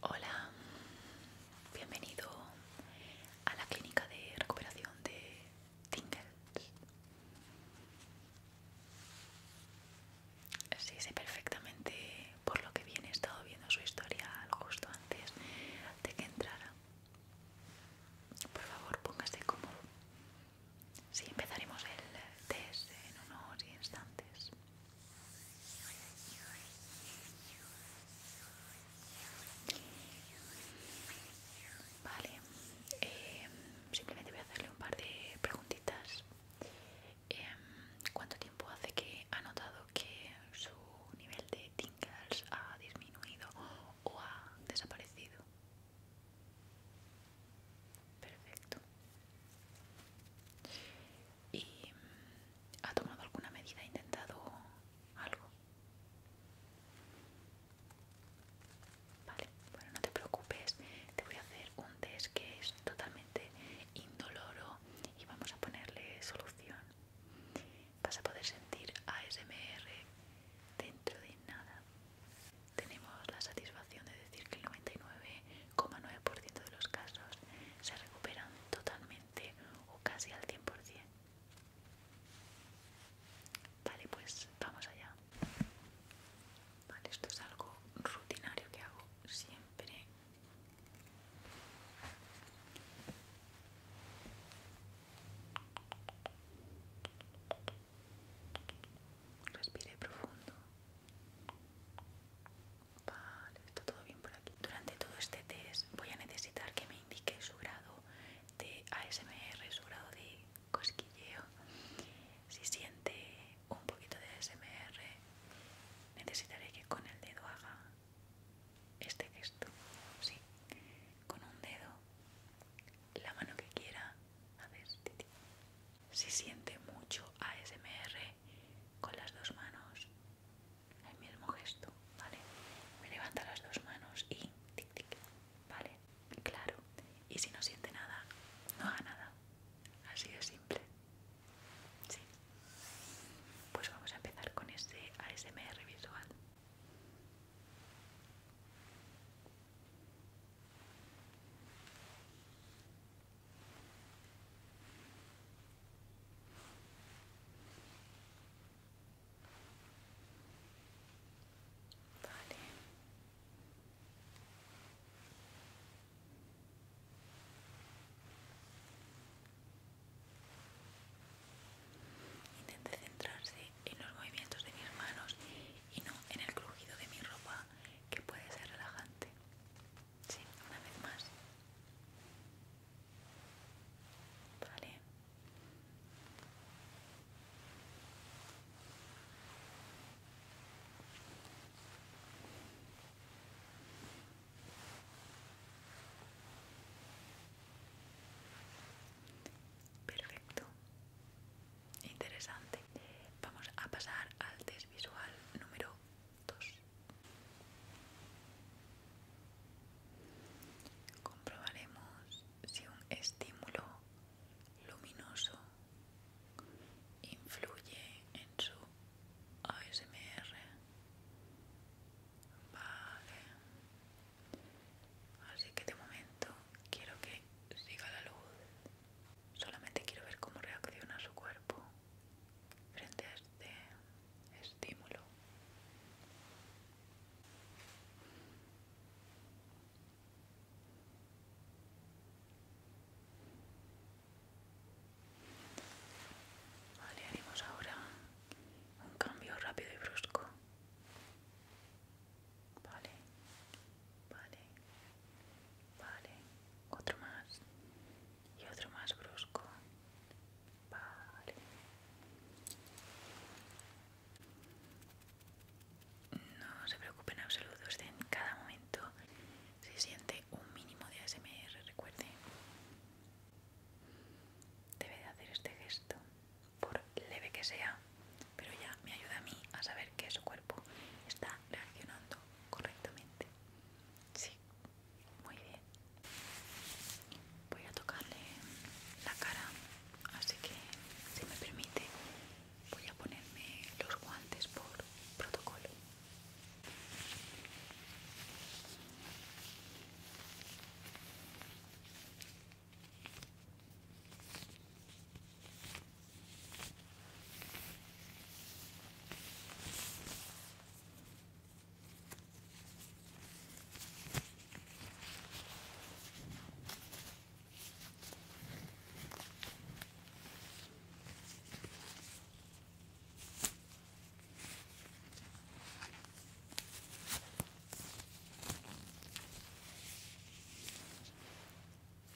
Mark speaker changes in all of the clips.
Speaker 1: Hola, bienvenido a la clínica de recuperación de tingles. Sí, sé perfectamente por lo que viene. He estado viendo su historia justo antes de que entrara. Por favor, póngase cómodo. Sí, empezaremos el test en unos instantes. Vale, em, simplemente voy a hacerle un par de preguntitas. Em, ¿Cuánto tiempo hace que ha notado que su nivel de tingles ha disminuido o ha desaparecido? Perfecto. ¿Y ha tomado alguna medida? ¿Ha intentado algo? Vale, bueno, no te preocupes, te voy a hacer un test que es totalmente indoloro y vamos a ponerle solución. Vas a poder sentir ASMR dentro de nada. Tenemos la satisfacción de decir que el 99,9% de los casos se recuperan totalmente o casi al 100%. Vale, pues vamos allá. Vale, esto es algo rutinario que hago siempre. Respire profundo. Vale, está todo bien por aquí. Durante todo este test voy a necesitar que me indique su grado de ASMR, su grado de cosquilleo. Si siente un poquito de ASMR necesitaré que con el dedo haga este gesto. Sí, con un dedo, la mano que quiera, haces titi. Si siente mucho ASMR, con las dos manos, el mismo gesto, ¿vale? Me levanta las dos manos y tic tic, ¿vale? Claro, y si no siente nada, no haga nada. Así de simple. Sí. Pues vamos a empezar con este ASMR visual. Vale. Intente centrarse en los movimientos de mis manos y no en el crujido de mi ropa, que puede ser relajante. Sí, una vez más. Vale. Perfecto. Interesante. Vamos a pasar al test visual número 2. Comprobaremos si un estímulo luminoso influye en su ASMR. Vale. Así que de momento quiero que siga la luz. Solamente quiero ver cómo reacciona su cuerpo frente a este estímulo. Vale, haremos ahora un cambio rápido y brusco. Vale, vale, vale. Otro más y otro más brusco. Vale. No se preocupe en absoluto, usted en cada momento se siente un mínimo de ASMR, recuerde. Debe de hacer este gesto, por leve que sea, pero ya me ayuda a mí a saber que su cuerpo está reaccionando correctamente. Sí, muy bien voy a tocarle la cara así que si me permite voy a ponerme los guantes por protocolo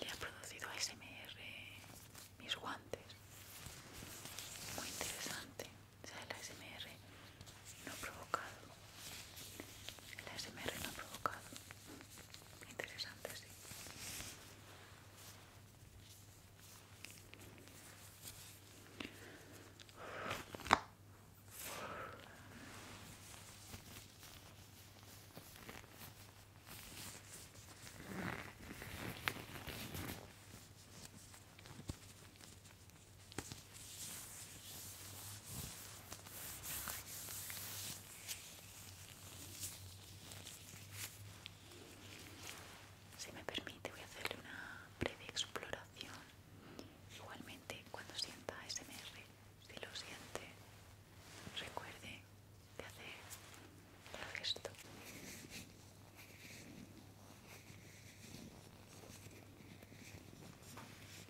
Speaker 1: le ha producido SMR mis guantes. Muy interesante. O el no provocado. El ASMR no provocado. Interesante, sí. Si me permite voy a hacerle una breve exploración. Igualmente cuando sienta SMR, si lo siente, recuerde de hacer esto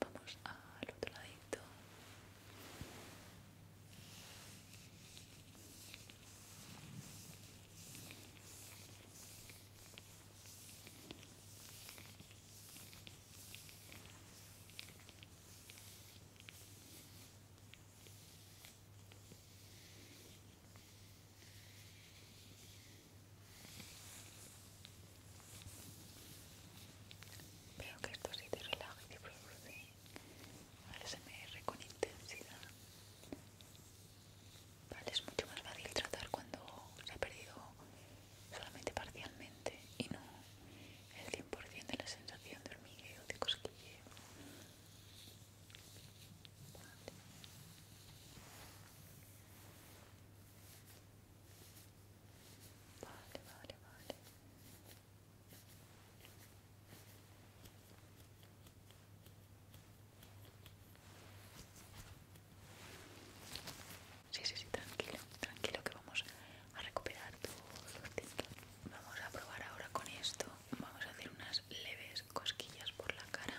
Speaker 1: Vamos al otro lado Veo que esto sí te relaja y te produce ASMR con intensidad. Vale, es mucho más fácil tratar cuando se ha perdido solamente parcialmente y no el 100% de la sensación de hormigueo, de cosquilleo. Vale, vale, vale. Sí, sí, sí, tranquilo, tranquilo que vamos a recuperar todos los Vamos a probar ahora con esto. Vamos a hacer unas leves cosquillas por la cara.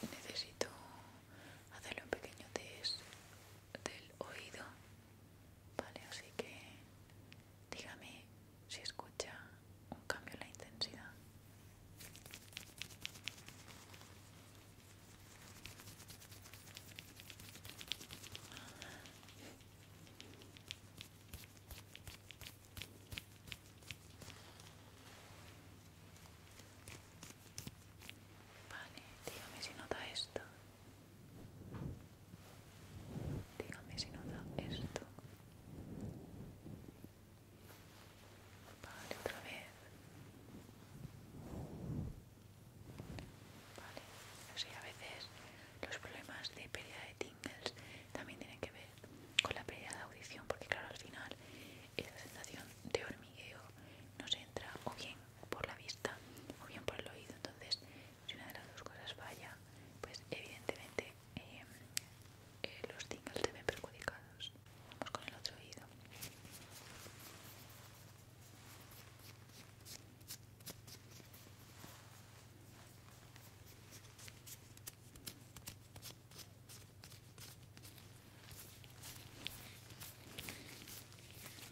Speaker 1: Necesito hacerle un pequeño test del oído, ¿vale? Así que dígame si escucha un cambio en la intensidad. Vale, dígame si nota esto. Dígame si nota esto. Vale, otra vez. Vale, no a veces los problemas de pérdida de también tienen que ver con la pelea de audición porque claro al final esa sensación de hormigueo nos entra o bien por la vista o bien por el oído entonces si una de las dos cosas falla pues evidentemente eh, eh, los tingles se ven perjudicados vamos con el otro oído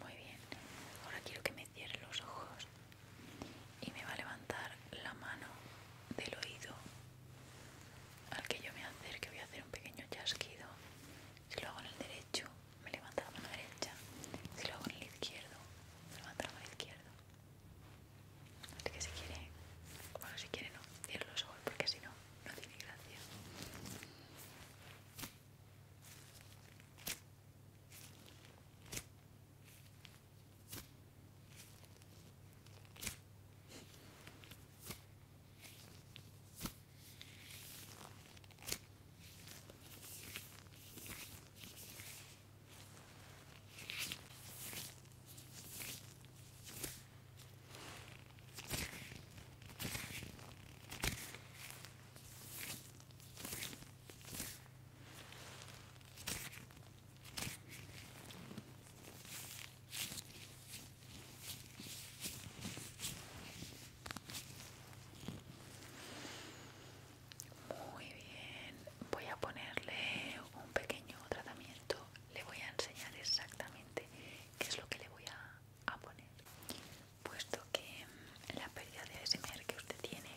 Speaker 1: muy bien, ahora quiero que me cierre los ojos y me va a levantar la mano del oído al que yo me acerque. Voy a hacer un pequeño chasquido. Si lo hago en el derecho, me levanta la mano derecha. Si lo hago en el izquierdo, me levanta la mano izquierda. Así que si quiere, bueno, si quiere no, cierre los porque si no, no tiene gracia. Muy bien, voy a ponerle un pequeño tratamiento le voy a enseñar exactamente qué es lo que le voy a, poner puesto que mm, la pérdida de ASMR que usted tiene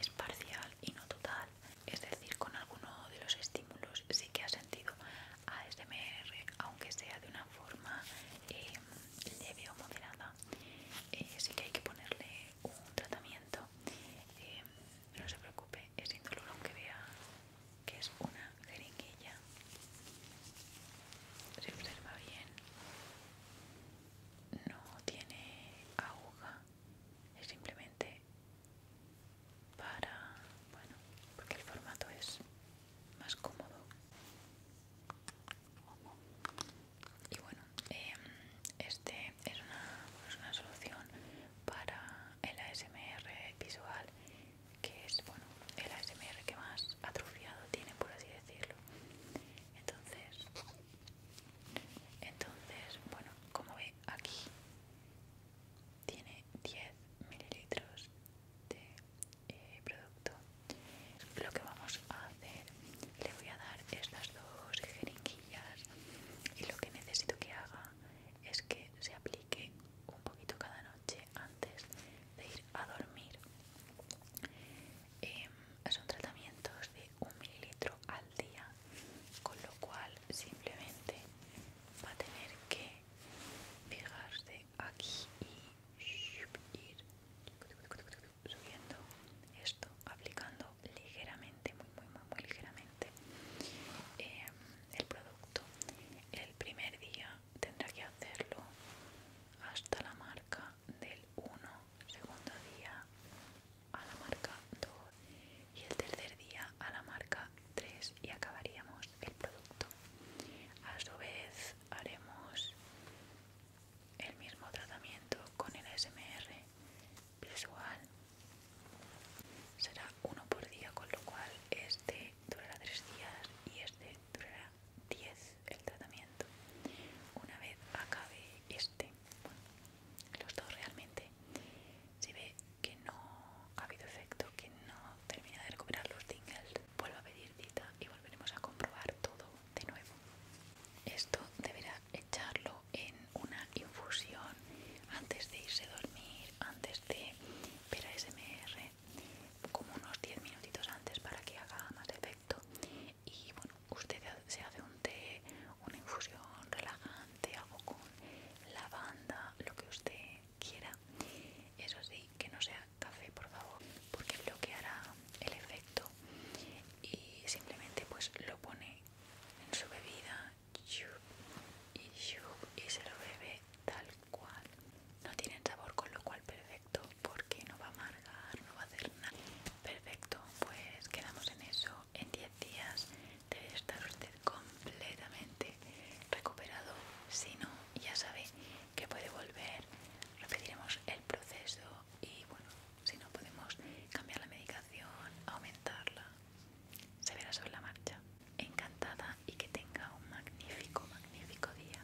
Speaker 1: es parcial y no total es decir con alguno de los estímulos sí que ha sentido ASMR aunque sea de una forma eh, leve o moderada eh, sí que hay que ponerle un tratamiento eh, no se preocupe, es indoloro aunque vea que es una jeringuilla. Se observa bien, no tiene aguja, es simplemente para, bueno, porque el formato es más cómodo. Y bueno, em, este es pues, una, solución para el ASMR visual que es bueno el ASMR que más atrofiado tiene por así decirlo entonces entonces bueno como ve aquí tiene 10 mililitros de eh, producto lo que vamos a hacer le voy a dar estas dos jeringuillas y lo que necesito que haga es que se aplique un poquito cada noche antes de ir a dormir. Em, son tratamientos de un mililitro al día, con lo cual simplemente va a tener que fijarse aquí y ir subiendo esto, aplicando ligeramente, muy muy muy, ligeramente eh, el producto. El primer día tendrá que hacerlo hasta la marca del 1, segundo día a la marca 2 y el tercer día a la marca 3 y acabaríamos el producto. A su vez haremos el mismo tratamiento con el SMR visual será uno por día, con lo cual este durará tres días y este durará diez el tratamiento. Una vez acabe este, los dos realmente, si ve que no ha habido efecto, que no termina de recuperar los tingles, vuelvo a pedir cita y volveremos a comprobar todo de nuevo. Esto deberá echarlo en una infusión antes de irse a dormir, antes de ver a SMR, como unos 10 minutitos antes para que haga más efecto. Y bueno, usted se hace un té, una infusión relajante, algo con lavanda, lo que usted quiera. Eso sí, que no sea café, por favor, porque bloqueará el efecto y simplemente pues lo pone en su bebida y se lo bebe tal cual. No tiene sabor, con lo cual perfecto, porque no va a amargar, no va a hacer nada. Perfecto, pues quedamos en eso. En 10 días debe estar usted completamente recuperado. Si no, ya sabe que puede volver. Repetiremos el proceso y bueno, si no podemos cambiar la medicación, aumentarla se verá sobre la marcha. Encantada y que tenga un magnífico, magnífico día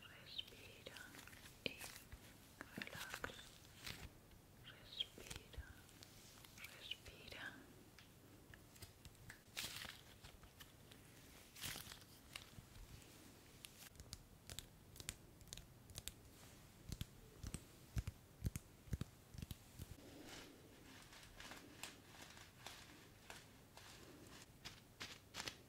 Speaker 1: respira y relax respira respira Respira